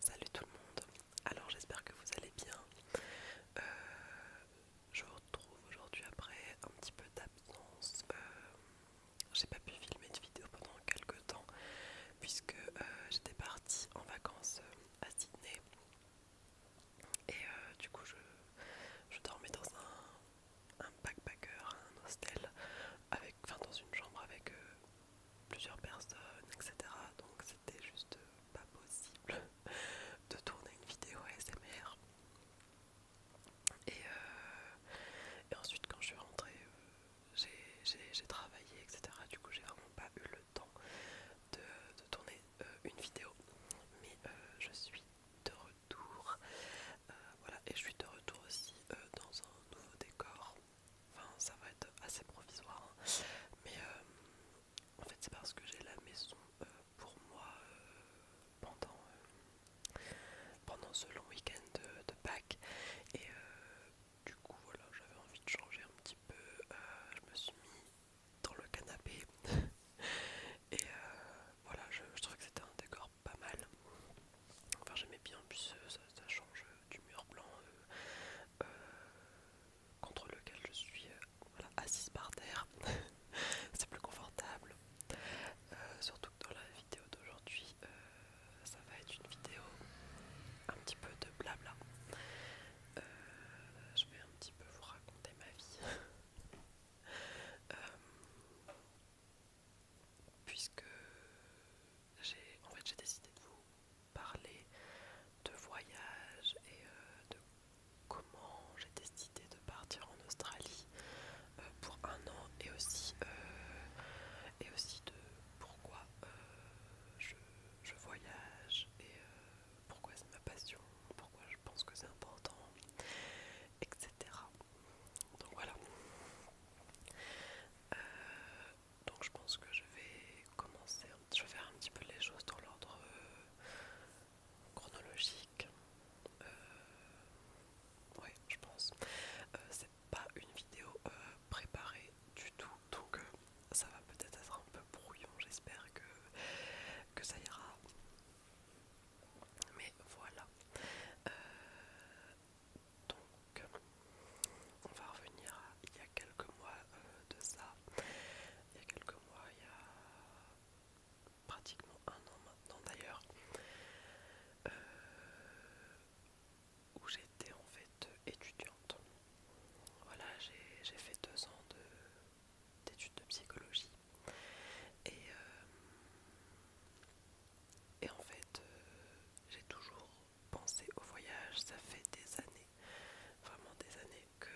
Salut tout le monde, alors j'espère que vous allez bien. Euh, je vous retrouve aujourd'hui après un petit peu d'absence. Euh, j'ai pas pu filmer de vidéo pendant quelques temps puisque euh, j'étais partie en vacances à Sydney et du coup je, dormais dans un, un backpacker, un hostel, avec, enfin dans une chambre avec plusieurs personnes, etc. Donc c'était juste pas possible de tourner une vidéo ASMR. Et, euh, et ensuite quand je suis rentrée, euh, j'ai travaillé, etc. Du coup j'ai vraiment pas eu le temps de, tourner euh, une vidéo. Mais je suis de retour. voilà, et je suis de retour aussi dans un nouveau décor. Enfin, ça va être assez provisoire, hein. mais euh, en fait, c'est parce que j'ai la maison euh, pour moi euh, pendant, pendant ce long week-end de, Pâques. Et du coup, voilà, j'avais envie de changer un petit peu. je me suis mis dans le canapé. et voilà, je, je trouvais que c'était un décor pas mal. Enfin, j'aimais bien, puis ça, ça change du mur blanc euh, euh, contre lequel je suis euh, assise par terre. C'est plus confortable. surtout que dans la vidéo d'aujourd'hui, ça va être une vidéo un petit peu de blabla. je vais un petit peu vous raconter ma vie. puisque en fait j'ai décidé de vous parler de voyage et euh, de comment j'ai décidé de partir en Australie euh, pour un an et aussi, euh, et aussi de pourquoi je, voyage et pourquoi c'est ma passion, pourquoi je pense que c'est important, etc. Donc voilà donc je pense que je vais commencer, je vais faire un petit peu les choses dans l'ordre euh, chronologique. Euh, ouais, je pense. Euh, c'est pas une vidéo préparée du tout, donc ça va peut-être être un peu brouillon. J'espère que, que ça ira. Mais voilà. Donc, on va revenir à il y a quelques mois euh, de ça. Il y a quelques mois, il y a pratiquement un an maintenant d'ailleurs, euh, où j'étais en fait étudiante. Voilà, j'ai fait deux ans d'études de, psychologie. Et, euh, et en fait, j'ai toujours penser au voyage. Ça fait des années, vraiment des années que,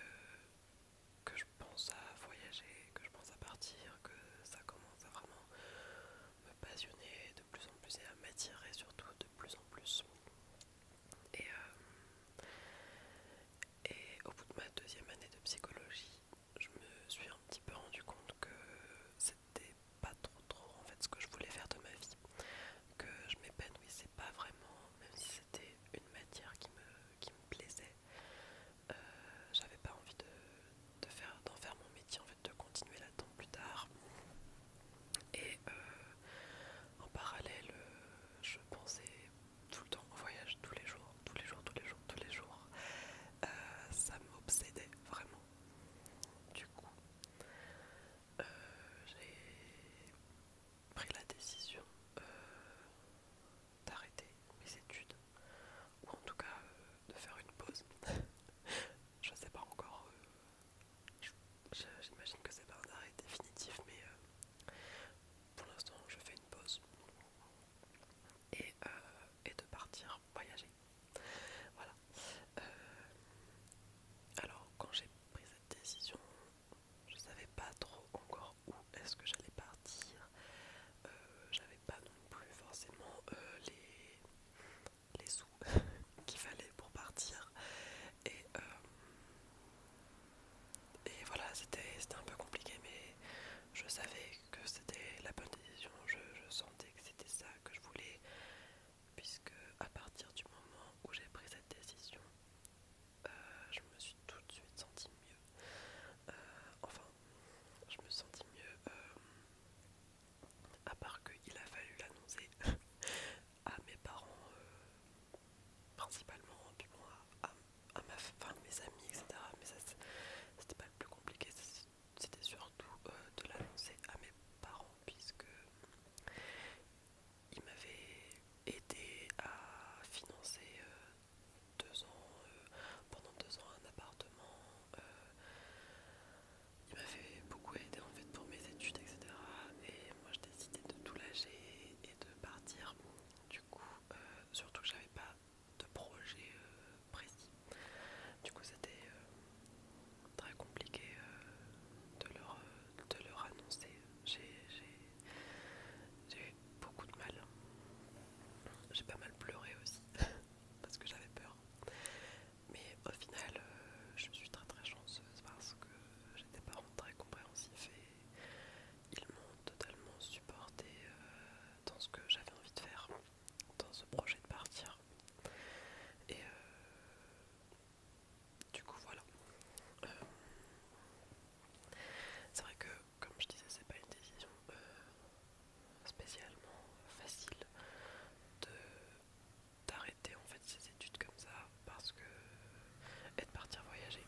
que je pense à voyager, que je pense à partir, que ça commence à vraiment me passionner de plus en plus et à m'attirer surtout de plus en plus. Et, euh, au bout de ma deuxième année de psychologie, je me suis un petit peu rendu compte que c'était pas trop trop en fait ce que je voulais faire de ma vie, que je m'épanouissais pas vraiment, même si c'était une matière qui me, plaisait, euh, j'avais pas envie de, faire, d'en faire mon métier en fait, de continuer là-dedans plus tard. Et euh, en parallèle, euh, je pensais tout le temps au voyage, tous les jours, tous les jours, tous les jours, tous les jours. ça m'obsédait vraiment. Du coup, euh, j'ai pris la décision euh, d'arrêter mes études, ou en tout cas euh, de faire une pause. je sais pas encore, j'imagine que c'est pas un arrêt définitif, mais pour l'instant je fais une pause. Et, et de partir voyager. Voilà. Euh, alors, quand j'ai pris cette décision, je savais pas trop encore où est-ce que j'allais partir. Euh, j'avais pas non plus forcément euh, les, les sous qu'il fallait pour partir. Et, et voilà, c'était un peu compliqué, mais je savais que c'était la bonne décision. je sentais que c'était ça que je voulais, puisque à partir du moment où j'ai pris cette décision, euh, je me suis tout de suite sentie mieux. Euh, enfin, je me sentis mieux, euh, à part qu'il a fallu l'annoncer à mes parents, principalement, puis bon, à, à, mes amis, etc. Mais ça, c'était pas le plus compliqué, c'était surtout euh, de l'annoncer à mes parents puisque ils m'avaient aidé à financer euh, deux ans euh, pendant deux ans un appartement ils il m'avait beaucoup aidé en fait pour mes études etc et moi je décidais de tout lâcher et de partir du coup surtout que j'avais pas de projet précis. Du coup, c'était euh, très compliqué euh, de, leur, euh, de leur annoncer. J'ai eu beaucoup de mal. J'ai pas mal pleuré aussi parce que j'avais peur. Mais au final, je je suis très très chanceuse parce que j'étais pas parents très compréhensif et ils m'ont totalement supporté dans ce que j'avais envie de faire dans ce projet de partir. Et euh, du coup, voilà. Euh, c'est vrai que, comme je disais, c'est pas une décision euh, spécialement facile de d'arrêter en fait ses études comme ça parce que et de partir voyager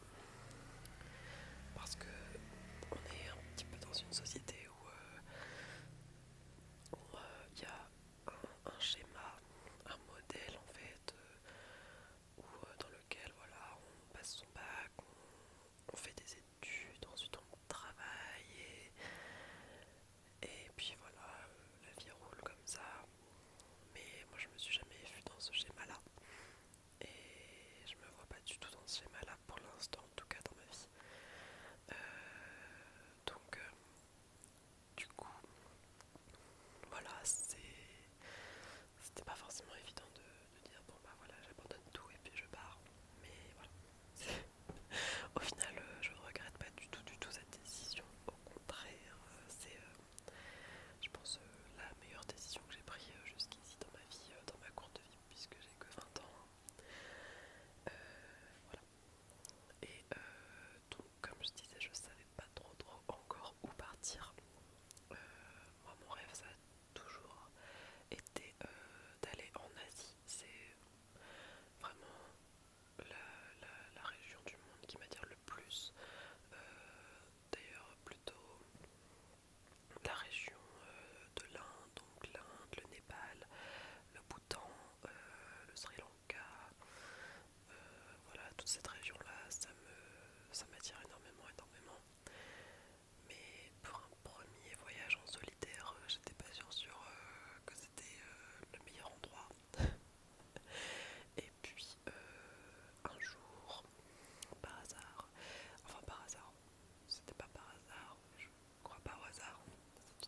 parce que on est un petit peu dans une société où euh, il y a un, schéma, un modèle en fait, euh, euh, dans lequel voilà, on passe son bac, on, fait des études, ensuite on travaille et, et puis voilà, la vie roule comme ça. Mais moi je me suis jamais vue dans ce schéma-là et je me vois pas du tout dans ce schéma-là pour l'instant, en tout cas dans ma vie. Euh, donc, euh, du coup, voilà, c'était pas forcément évident de, dire bon bah voilà, j'abandonne tout et puis je pars. Mais voilà, au final, euh, je ne regrette pas du tout, du tout cette décision. Au contraire, c'est, je pense, la meilleure décision que j'ai prise jusqu'ici dans ma vie, dans ma courte vie, puisque j'ai que 20 ans. Hein. Euh, voilà. Et euh, donc, comme je disais, je savais pas trop trop encore où partir. Euh, moi, mon rêve, ça a toujours été d'aller en Asie. C'est vraiment la, la, région du monde qui m'attire le plus. D'ailleurs, plutôt la région euh, de l'Inde, donc l'Inde, le Népal, le Bhoutan, euh, le Sri Lanka, euh, voilà, toute cette région-là, ça me, ça m'attire énormément, énormément. Mais pour un premier voyage en solitaire, j'étais pas sûre, que c'était le meilleur endroit. Et puis un jour, par hasard, enfin par hasard, c'était pas par hasard, je crois pas au hasard,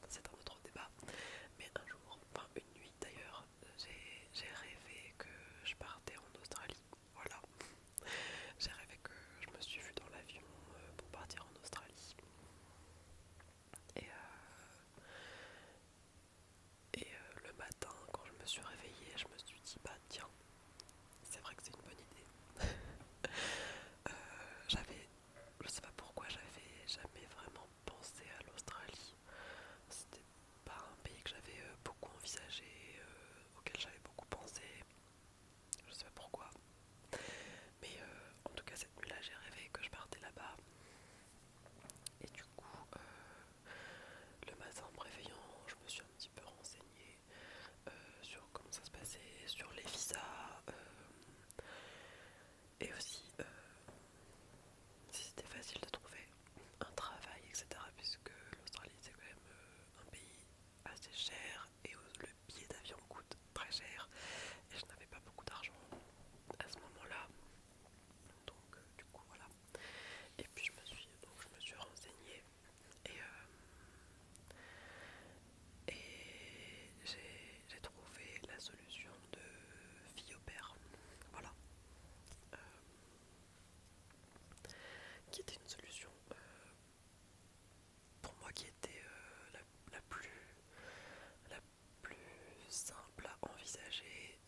c'est un autre débat, mais un jour, enfin une nuit d'ailleurs, j'ai rêvé que je partais en Australie, voilà, j'ai rêvé que je me suis vue dans l'avion euh, pour partir en Australie, et, euh, euh, le matin quand je me suis réveillée, je me suis dit bah tiens, c'est vrai que c'est une bonne idée. Euh, j'avais, je sais pas pourquoi, j'avais jamais vraiment pensé à l'Australie. C'était pas un pays que j'avais euh, beaucoup envisagé, euh, auquel j'avais beaucoup pensé. Je sais pas pourquoi. Mais en tout cas, cette nuit-là, j'ai rêvé que je partais là-bas. Et du coup, le matin en me réveillant, je me suis un petit peu renseignée euh, sur comment ça se passait, sur les visas, euh, et aussi euh, si c'était facile de trouver un travail, etc. Puisque l'Australie c'est quand même un pays assez cher et le billet d'avion coûte très cher et je n'avais pas beaucoup d'argent à ce moment-là. Donc du coup voilà. Et puis je me suis donc je me suis renseignée et, euh, j'ai trouvé la solution de fille au père. Voilà. Euh, qui était une solution euh, pour moi qui était la, plus, la plus simple à envisager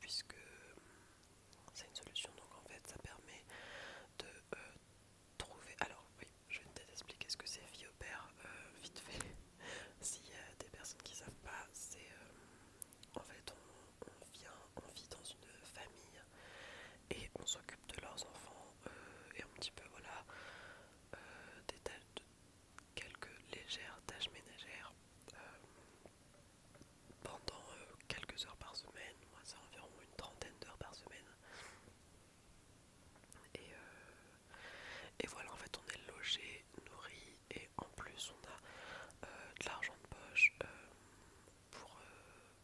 puisque c'est une solution donc en fait ça permet de trouver alors je vais peut-être expliquer ce que c'est vie au Père, euh, vite fait. S'il y a des personnes qui ne savent pas, c'est euh, en fait on, vient, on vit dans une famille et on s'occupe de leurs enfants euh, et un petit peu voilà des tâches quelques légères tâches ménagères pendant quelques heures par semaine, moi c'est environ une trentaine d'heures par semaine. Euh, et, voilà, en fait, on est logé, nourri, et en plus, on a euh, de l'argent de poche euh, pour,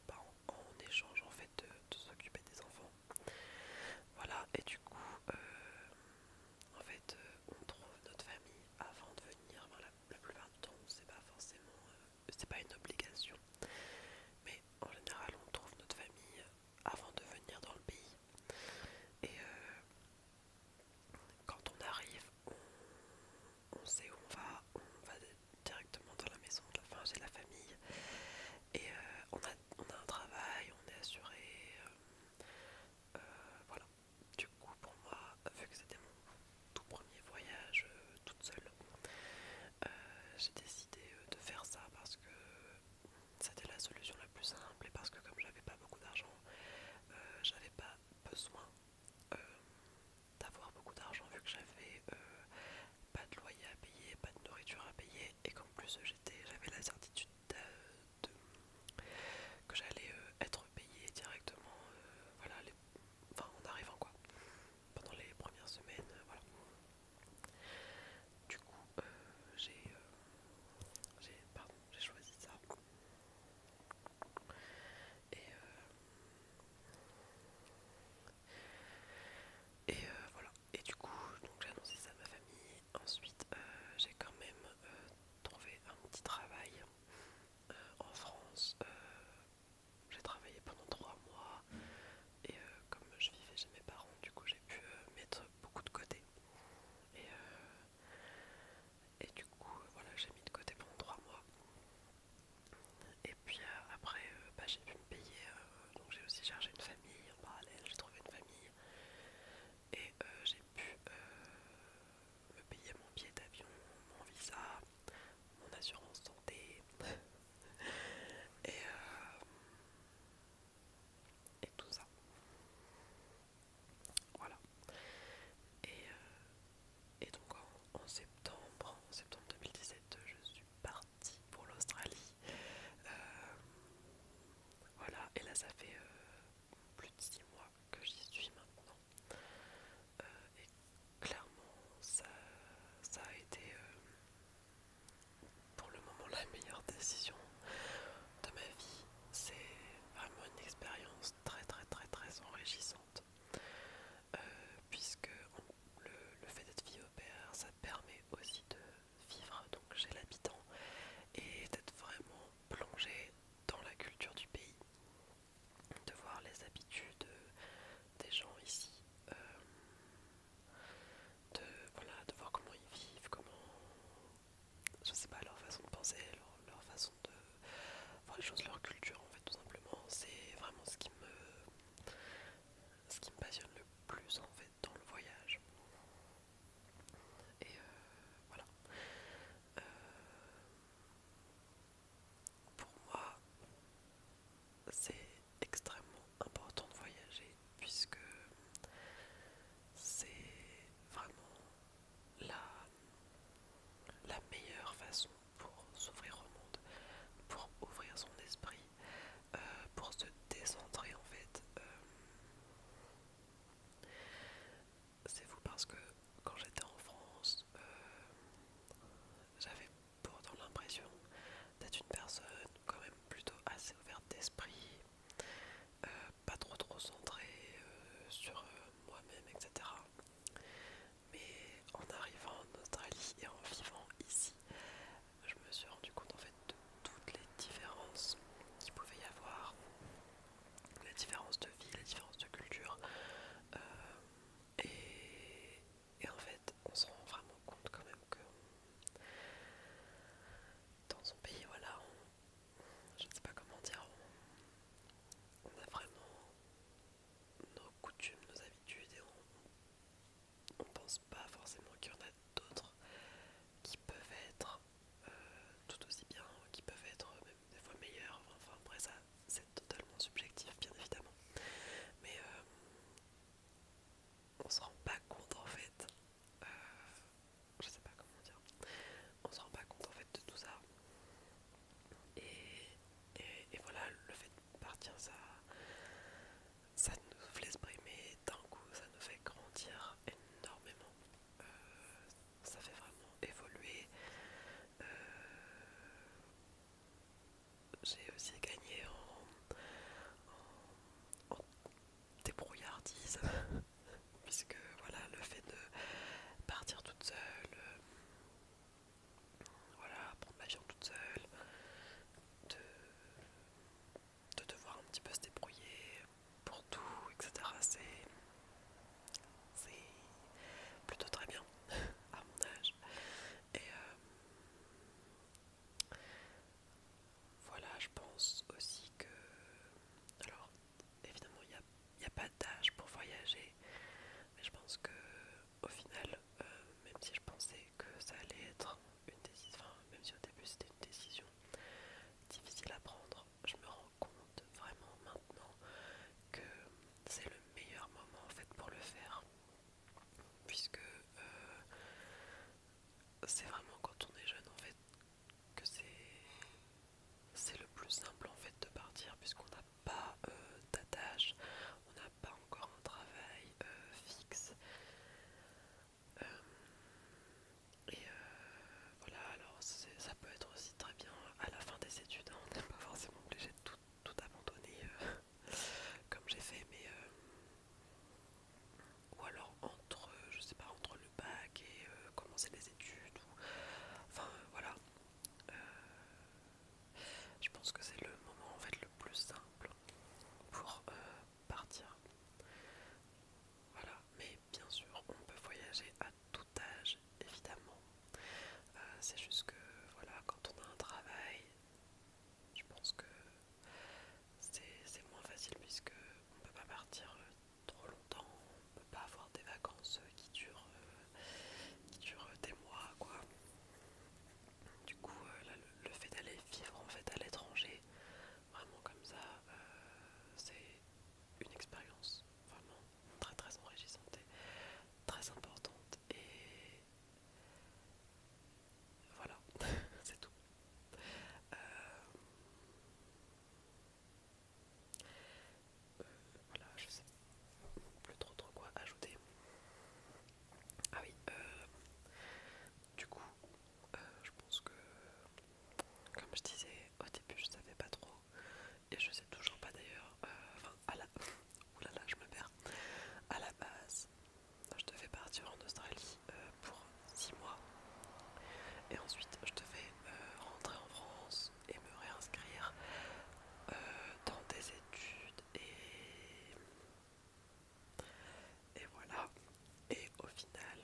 bah, en, échange en fait de, s'occuper des enfants. Voilà, et du coup, en fait, on trouve notre famille avant de venir. la, plupart du temps, c'est pas forcément. Euh, c'est pas une obligation. Mais en général, on trouve notre famille avant de venir dans le pays. Et euh, quand on arrive, on, sait où on va, on va directement dans la maison de la, la famille. Et euh, on, a, on a un travail, on est assuré. voilà. Du coup, pour moi, vu que c'était mon tout premier voyage toute seule, euh, j'ai décidé euh, de faire ça parce que c'était la solution la plus simple et parce que comme j'avais pas beaucoup d'argent, euh, j'avais pas besoin d'avoir beaucoup d'argent vu que j'avais pas de loyer à payer, pas de nourriture à payer et qu'en plus j'avais la certitude que j'allais être payée directement, en arrivant quoi pendant les premières semaines, euh, voilà. Du coup, euh, j'ai euh, choisi ça. Et, euh, et voilà. Et du coup, j'ai annoncé ça à ma famille. Ensuite, j'ai quand même trouvé un petit travail en France. J'ai travaillé pendant trois mois et euh, comme je vivais chez mes parents, du coup j'ai pu euh, mettre beaucoup de côté. Et, euh, du coup, voilà, j'ai mis de côté pendant trois mois. Et puis après, bah, j'ai pu me payer, donc j'ai aussi cherché une famille en parallèle, j'ai trouvé une famille et j'ai pu me payer mon billet d'avion, mon visa, mon assurance santé euh, et, tout ça. Voilà. Et, euh, et donc en, septembre, septembre 2017, je suis partie pour l'Australie. Euh, voilà, et là ça fait plus de 6 mois que j'y suis maintenant. Euh, et clairement, ça, a été euh, pour le moment la meilleure décision de ma vie. C'est vraiment une expérience très très très très enrichissante. Euh, puisque le, fait d'être vie au père, ça permet aussi de vivre donc, chez l'habitant et d'être vraiment plongée dans la culture du pays de voir les habitudes des gens ici, euh, de, voilà, de voir comment ils vivent, comment, je sais pas, leur façon de penser, leur, façon de voir les choses, leur culture en fait tout simplement. C'est vraiment ce qui me, ce qui me passionne le plus en fait dans le voyage. Et euh, voilà. Euh, pour moi, c'est extrêmement important de voyager puisque c'est vraiment la, la meilleure façon pour s'ouvrir au monde, pour ouvrir son esprit, euh, pour se décentrer en fait. Euh, c'est fou parce que quand j'étais en France, euh, j'avais pour avoir l'impression d'être une personne quand même plutôt assez ouverte d'esprit, euh, pas trop trop centrée euh, sur euh, moi-même, etc. Mais en arrivant en Australie et en vivant ici, je me suis rendu compte en fait de toutes les différences qu'il pouvait y avoir, La différence de vie, les différences de culture, et, en fait, on se rend vraiment compte quand même que dans son pays, voilà, on, je ne sais pas comment dire, on, a vraiment nos coutumes, nos habitudes et on pense pas forcément qu'il y en a d'autres qui peuvent être euh, tout aussi bien, qui peuvent être des fois meilleur. Enfin, après, ça c'est totalement subjectif, bien évidemment. Mais euh, on se rend pas compte en fait. Euh, je sais pas comment dire. On se rend pas compte en fait de tout ça. Et, voilà, le fait de partir, ça, ça nous fait brimer d'un coup, ça nous fait grandir énormément. Euh, ça fait vraiment évoluer j'ai aussi gagné en, débrouillardise puisque voilà le fait de partir toute seule euh, voilà prendre toute seule de, de devoir un petit peu se débrouiller pour tout etc c'est c'est plutôt très bien à mon âge. Et euh, voilà, je pense aussi que. Alors, évidemment, il n'y a, a pas d'âge pour voyager, mais je pense que au final, euh, même si je pensais que ça allait être une décision, enfin, même si au début c'était une décision difficile à prendre, je me rends compte vraiment maintenant que c'est le meilleur moment en fait pour le faire puisque euh, c'est vraiment quand on est jeune en fait que c'est le plus simple en fait de partir puisqu'on n'a pas euh, d'attache, on n'a pas encore un travail euh, fixe. et voilà, alors ça peut être aussi très bien à la fin des études, hein, on n'est pas forcément obligé tout, tout abandonner euh, comme j'ai fait, mais euh, ou alors entre, euh, je sais pas, entre le bac et commencer les études, ou, enfin voilà. je pense que c'est le moment en fait le plus simple pour partir. Voilà, mais bien sûr, on peut voyager à tout évidemment. Euh, c'est juste que, voilà, quand on a un travail, je pense que c'est moins facile puisque on peut pas partir euh, trop longtemps, on peut pas avoir des vacances euh, qui durent, durent des mois, quoi. Du coup, le, fait d'aller vivre en fait à l'étranger, vraiment comme ça, c'est une expérience vraiment très très enrichissante et très importante et voilà, c'est tout. Euh, voilà, je sais plus trop trop quoi ajouter. Ah oui, euh, du coup, euh, je pense que, comme je disais au début, je savais pas trop et je sais toujours pas d'ailleurs euh, enfin à la oulala je me perds à la base je devais partir en Australie euh, pour 6 mois et ensuite je devais fais euh, rentrer en France et me réinscrire euh, dans des études et et voilà et au final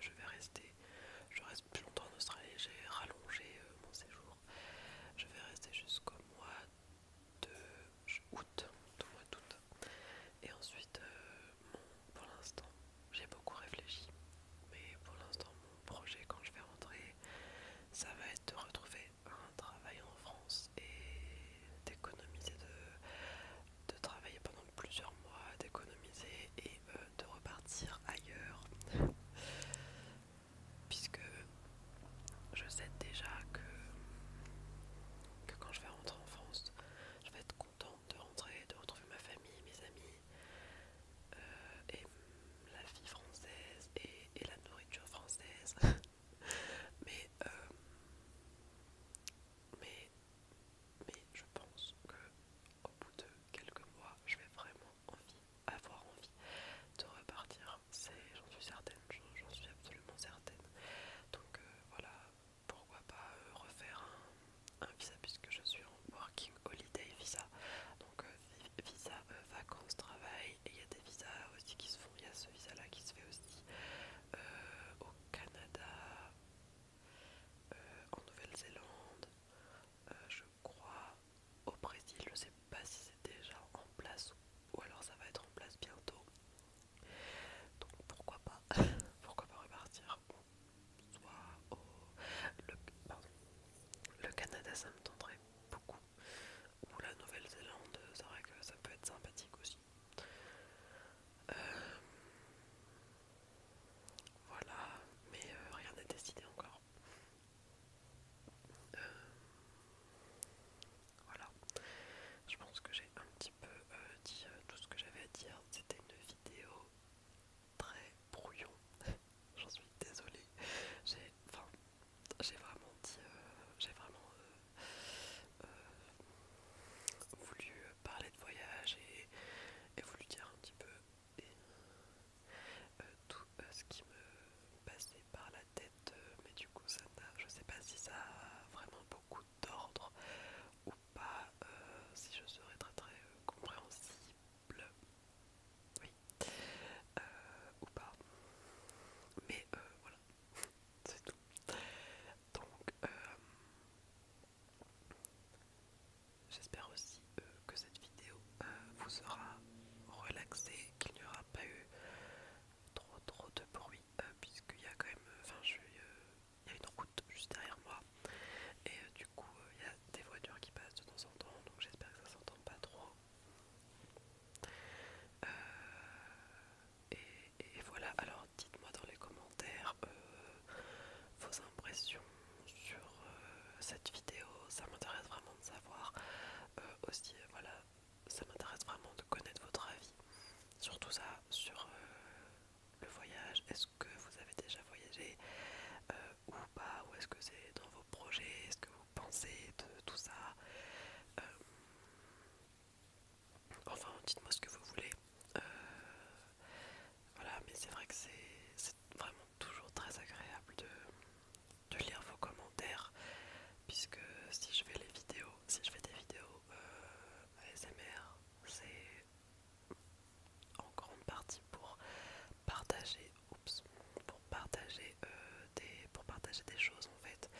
je, vais rester, je reste plus longtemps en Australie, j'ai rallongé euh, mon séjour. Je vais rester jusqu'au mois de août, mois d'août. Et ensuite, euh, pour l'instant, j'ai beaucoup réfléchi, mais pour l'instant, mon projet quand je vais rentrer, ça va être de retrouver un travail en France et d'économiser de, de travailler pendant plusieurs mois, d'économiser et euh, de repartir ailleurs. Puisque je sais déjà que, quand je vais rentrer en France, je vais être contente de rentrer, de retrouver ma famille, mes amis, euh, et la vie française et, la nourriture française. mais euh, mais je pense que au bout de quelques mois, je vais vraiment avoir envie de repartir. J'en suis certaine, j'en suis absolument certaine. Donc euh, voilà, pourquoi pas euh, refaire un, visa puisque je suis en working holiday visa. Donc euh, visa vacances, travail, et il y a des visas aussi qui se font. Il y a ce visa là qui se fait aussi au Canada, en Nouvelle-Zélande. Euh, je crois, au Brésil. Je ne sais pas si c'est déjà en place ou alors ça va être en place bientôt. Donc pourquoi pas, pourquoi pas repartir soit au... Le, Canada, ça me tenterait beaucoup. Ou la Nouvelle-Zélande, c'est vrai que ça peut être sympathique aussi. Euh, voilà, mais euh, rien n'est décidé encore. Euh, voilà, je pense que j'ai un petit peu euh, dit tout ce que j'avais à dire. C'était une vidéo très brouillon. J'en suis désolée. J'ai, j'ai vraiment dit, j'ai vraiment voulu parler de voyage et et vous dire un petit peu euh, tout euh, ce qui me passait par la tête, euh, mais du coup ça je sais pas si ça a vraiment beaucoup d'ordre ou pas, si je serais très très compréhensible, oui, ou pas, mais voilà, c'est tout. Donc, J'espère aussi euh, que cette vidéo euh, vous sera relaxé, qu'il n'y aura pas eu trop trop de bruit, euh, puisqu'il y a quand même, une route juste derrière moi, et du coup, il y a des voitures qui passent de temps en temps, donc j'espère que ça s'entend pas trop. et voilà, alors dites-moi dans les commentaires euh, vos impressions sur euh, cette vidéo, ça m'intéresse vraiment de savoir. Euh, aussi, voilà, ça m'intéresse vraiment de connaître votre avis, surtout ça sur le voyage. Est-ce que vous avez déjà voyagé ou pas, ou est-ce que c'est dans vos projets, est-ce que vous pensez de tout ça Enfin, dites-moi ce que vous voulez. Euh, voilà, mais c'est vrai que c'est vraiment toujours très agréable de, lire vos commentaires, puisque si je fais les vidéos, si je fais des vidéos euh, ASMR, c'est en grande partie pour partager, pour partager, euh, des, pour partager des choses en fait.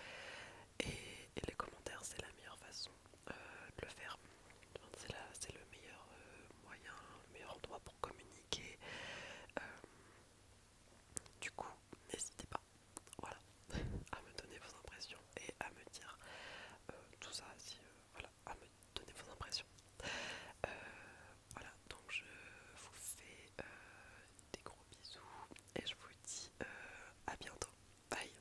et les commentaires, c'est la meilleure façon de euh, le faire. C'est le meilleur euh, moyen, le meilleur endroit pour communiquer. Euh, du coup, n'hésitez pas voilà, à me donner vos impressions et à me dire tout ça, voilà, à me donner vos impressions. voilà, donc je vous fais des gros bisous et je vous dis à bientôt. Bye